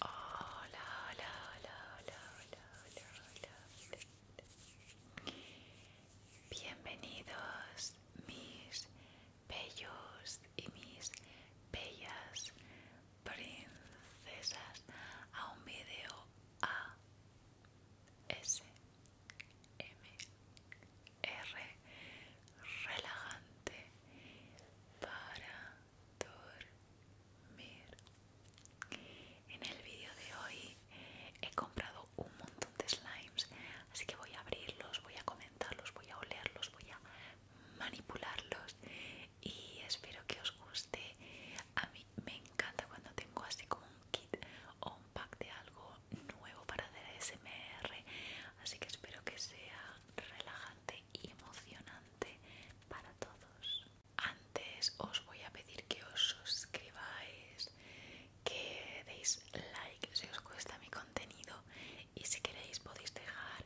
Hola, hola, hola, hola, hola, Bienvenidos mis bellos y mis bellas princesas a un video A S M R relajante para dormir. En el vídeo de hoy he comprado un montón de slimes, así que voy a abrirlos, voy a comenzar voy a olerlos, voy a manipularlos y espero que os guste. A mí me encanta cuando tengo así como un kit o un pack de algo nuevo para hacer ASMR, así que espero que sea relajante y emocionante para todos. Antes os voy a pedir que os suscribáis, que deis like si os gusta mi contenido y si queréis podéis dejar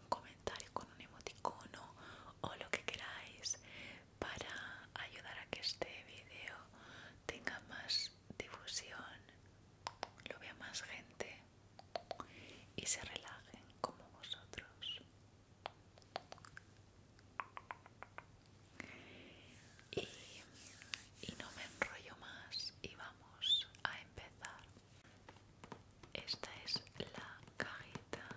un comentario con un emoticono o lo que queráis para ayudar a que este vídeo tenga más difusión, lo vea más gente y se relajen como vosotros. Y, no me enrollo más y vamos a empezar. Esta es la cajita.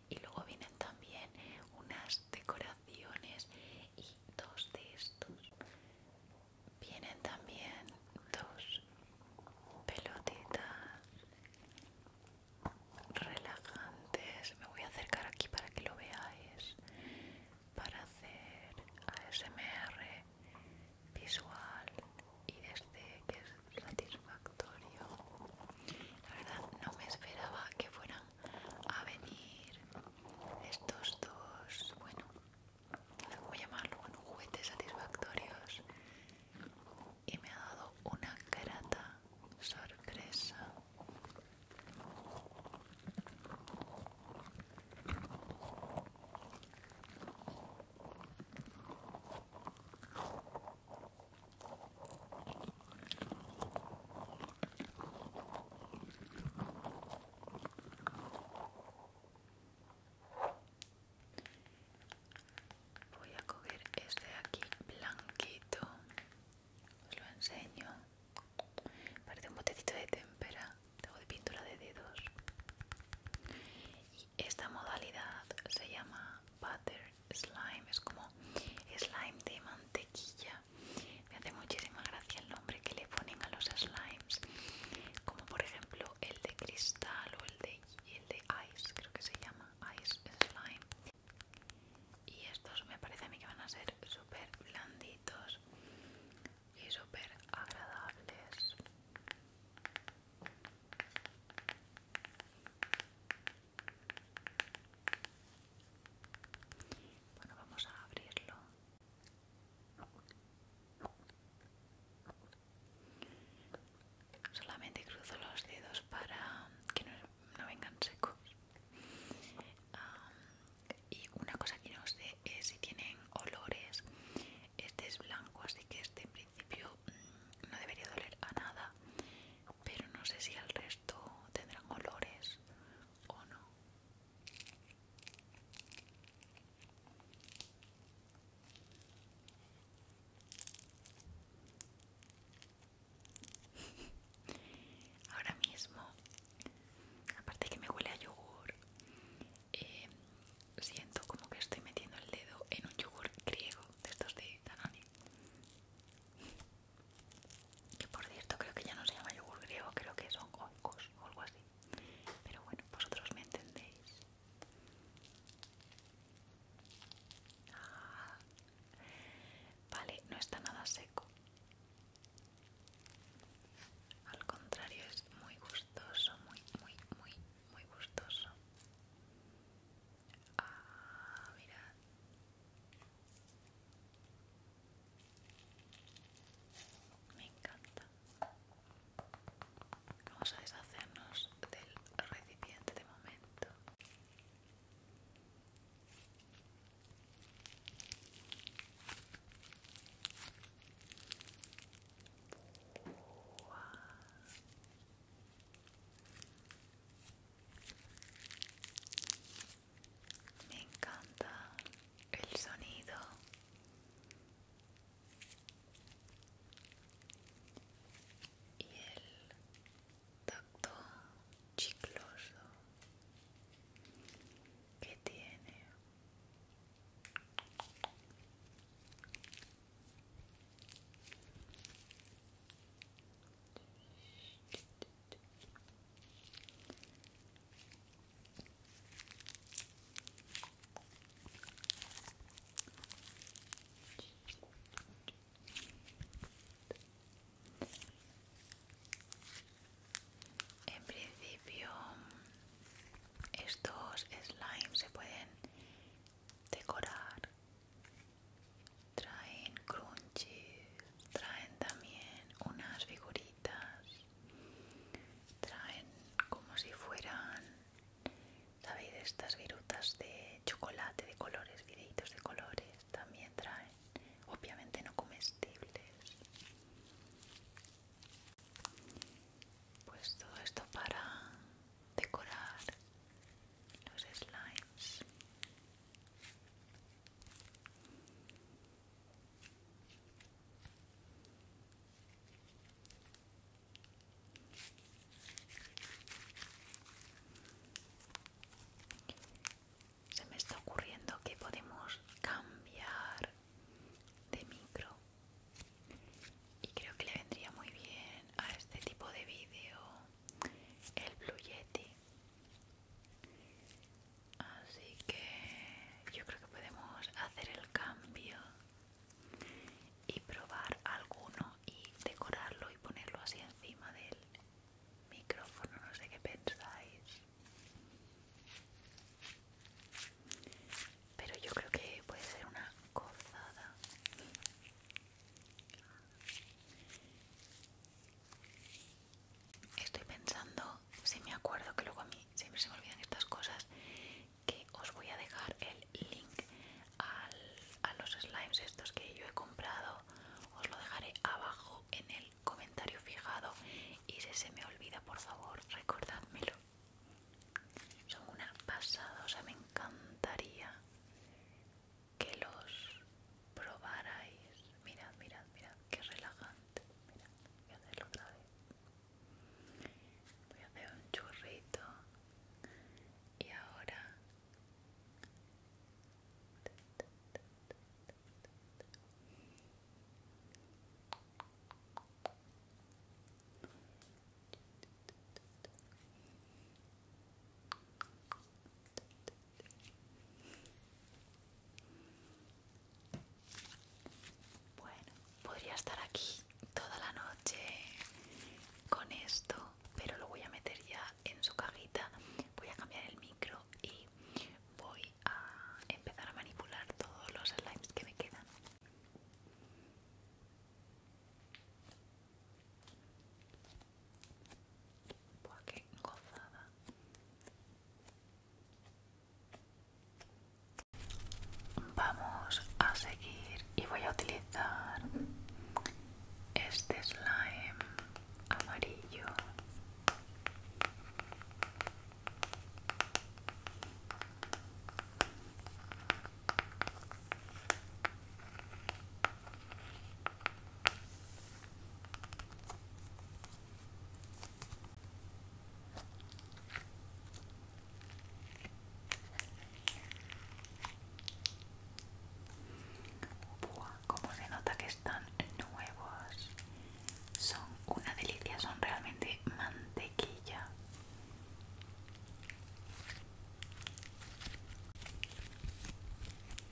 y luego vienen también unas decoraciones y dos de estos vienen también dos pelotitas relajantes me voy a acercar aquí para que lo veáis para hacer ASMR visual y este que es satisfactorio la verdad no me esperaba que fueran a venir estos dos, bueno, a llamarlo? juguetes satisfactorios y me ha dado una grata sorpresa. Voy a coger este aquí blanquito. Os lo enseño. Parece un botecito de témpera. Tengo de pintura de dedos. Y esta modalidad se llama pattern slime, es como slime de mantequilla. Me hace muchísima gracia el nombre que le ponen a los slimes, como por ejemplo el de cristal o el de, el de ice, creo que se llama ice slime. Y estos me parece a mí que van a ser super blanditos y super agradables. Bueno, vamos a abrirlo. Solamente cruzo los dedos para que no, vengan secos. y una cosa que no sé es si tienen olores. Este es blanco, así que este en principio mm, no debería doler a nada. Pero no sé si el resto tendrán olores o no. Ahora mismo, aparte que me huele a yogur, eh, siento como que estoy metiendo el dedo en un yogur griego de estos de Danone que por cierto creo que ya no se llama yogur griego, creo que son oikos o algo así. Pero bueno, vosotros me entendéis. Ah. vale, no está nada seco. Al contrario, es muy gustoso, muy, muy, muy, muy gustoso. Ah, mirad. Me encanta. Vamos a deshacernos del recipiente de momento. Me encanta el sonido. Y el tacto chicloso que tiene. En principio, estos slimes se pueden decorar traen crunchies, traen también unas figuritas, traen como si fueran, ¿sabéis? Estas virutas de chocolate de colores, videitos de colores, también traen, obviamente no comestibles. Pues todo esto para decorar los slimes. Se me está ocurriendo que podemos cambiar de micro y creo que le vendría muy bien a este tipo de vídeo el Blue Así que yo creo que podemos hacer el cambio y probar alguno y decorarlo y ponerlo así encima del micrófono. No sé qué pensáis. Pero yo creo que puede ser una gozada. Estoy pensando, si me acuerdo que luego a mí siempre se me olvidan estas cosas, que os voy a dejar el link a los slimes estos que yo he comprado. Os lo dejaré abajo en el comentario fijado. Y si se me olvida, por favor, recordadmelo Son una pasada, o sea, me encantaría que los probarais. Mirad, mirad, mirad, qué relajante. Mirad, voy a hacerlo otra vez. Voy a hacer un churrito y ahora bueno, podría estar aquí toda la noche con esto, pero lo voy a meter ya en su cajita. Voy a cambiar el micro y voy a empezar a manipular todos los slimes que me quedan. Vamos a seguir y voy a utilizar este slime amarillo como se nota que están nuevos. Son una delicia, son realmente mantequilla.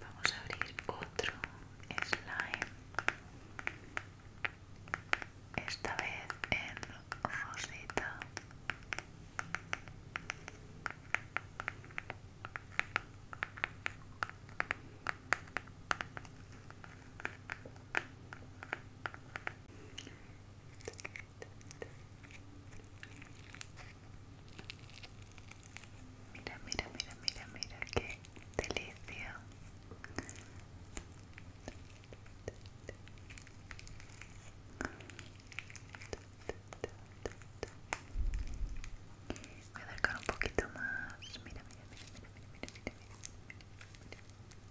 Vamos a abrir otro slime, esta vez en rosita. Mira, mira, mira, mira, mira, qué delicia. Voy a acercar un poquito más. Mira, mira, mira, mira, mira, mira,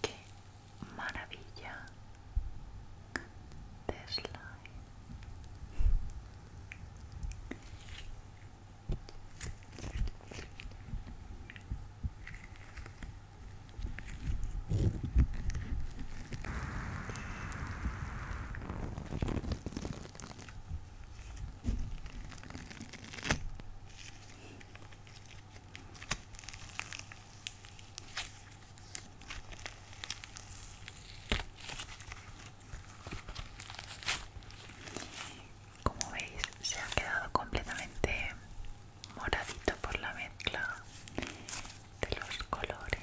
Qué maravilla de como veis, se ha quedado completamente moradito por la mezcla de los colores.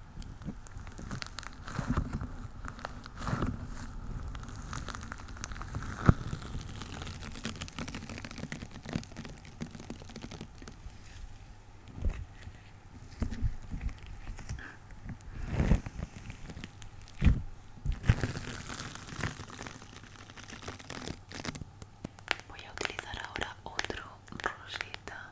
Voy a utilizar ahora otro rosita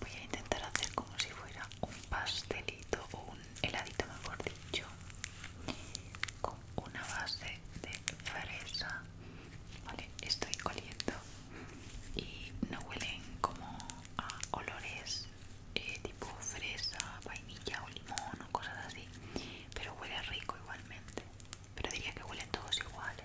Voy a intentar hacer como si fuera un pastelito o un heladito, mejor dicho una base de fresa vale estoy coliendo y no huelen como a olores eh, tipo fresa vainilla o limón o cosas así pero huele rico igualmente pero diría que huelen todos iguales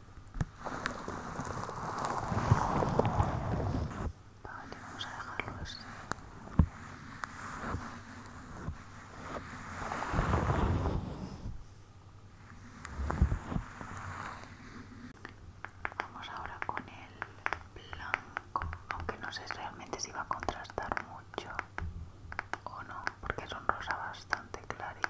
Vale, vamos a dejarlo así. Vamos ahora con el blanco, aunque no sé realmente si va a contrastar mucho o no, porque es un rosa bastante clarito.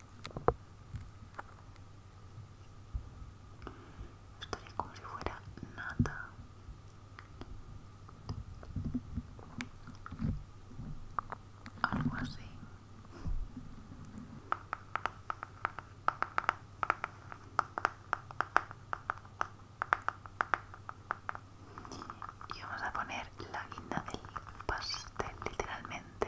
Estaría como si fuera nada. Algo así. Y vamos a poner la guinda del pastel, literalmente.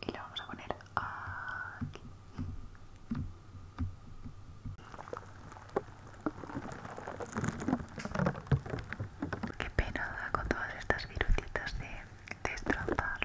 y lo vamos a poner aquí. Qué pena con todas estas virucitas de destrozarlo.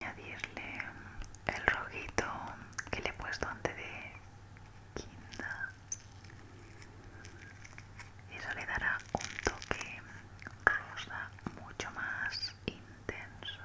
añadirle el rojito que le he puesto antes de quinta eso le dará un toque rosa mucho más intenso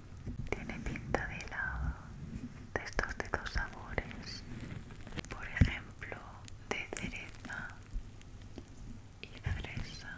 Tiene pinta de helado, de estos de dos sabores, por ejemplo, de cereza y fresa.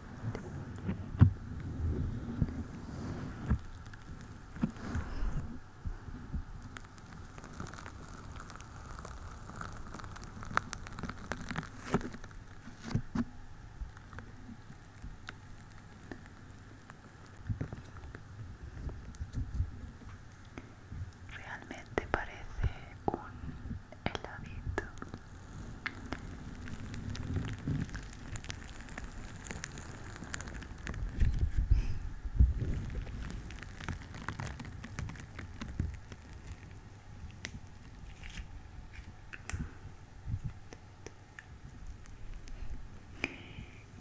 Realmente parece un heladito.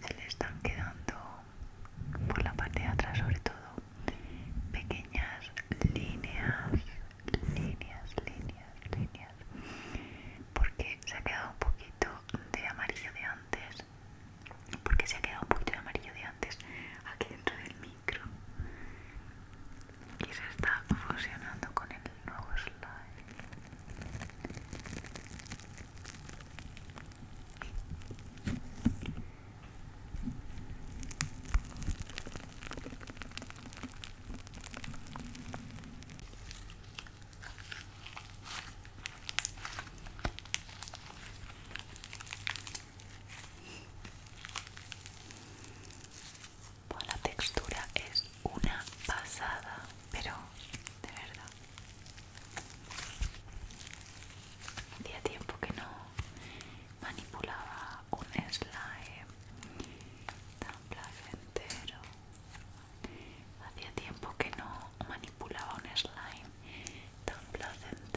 Se le están quedando por la parte de atrás sobre todo pequeñas líneas, líneas, líneas, líneas porque se ha quedado un poquito de amarillo de antes porque se ha quedado un poquito de amarillo de antes aquí dentro del micro y se está fusionando con el nuevo slide pues la textura es una pasada, pero de verdad. Hacía tiempo que no manipulaba un slime tan placentero. Hacía tiempo que no manipulaba un slime tan placentero.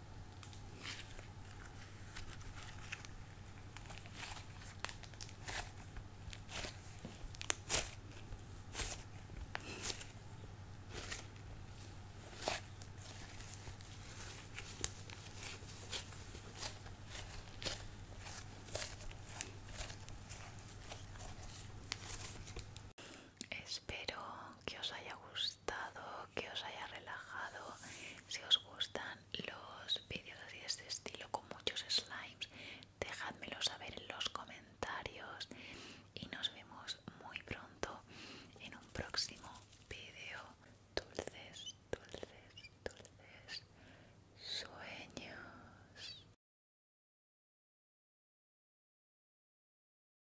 Espero que os haya gustado que os haya relajado. Si os gustan los vídeos así de este estilo con muchos slimes, dejadmelo saber en los comentarios. Y nos vemos muy pronto en un próximo vídeo. Dulces, dulces, dulces sueños.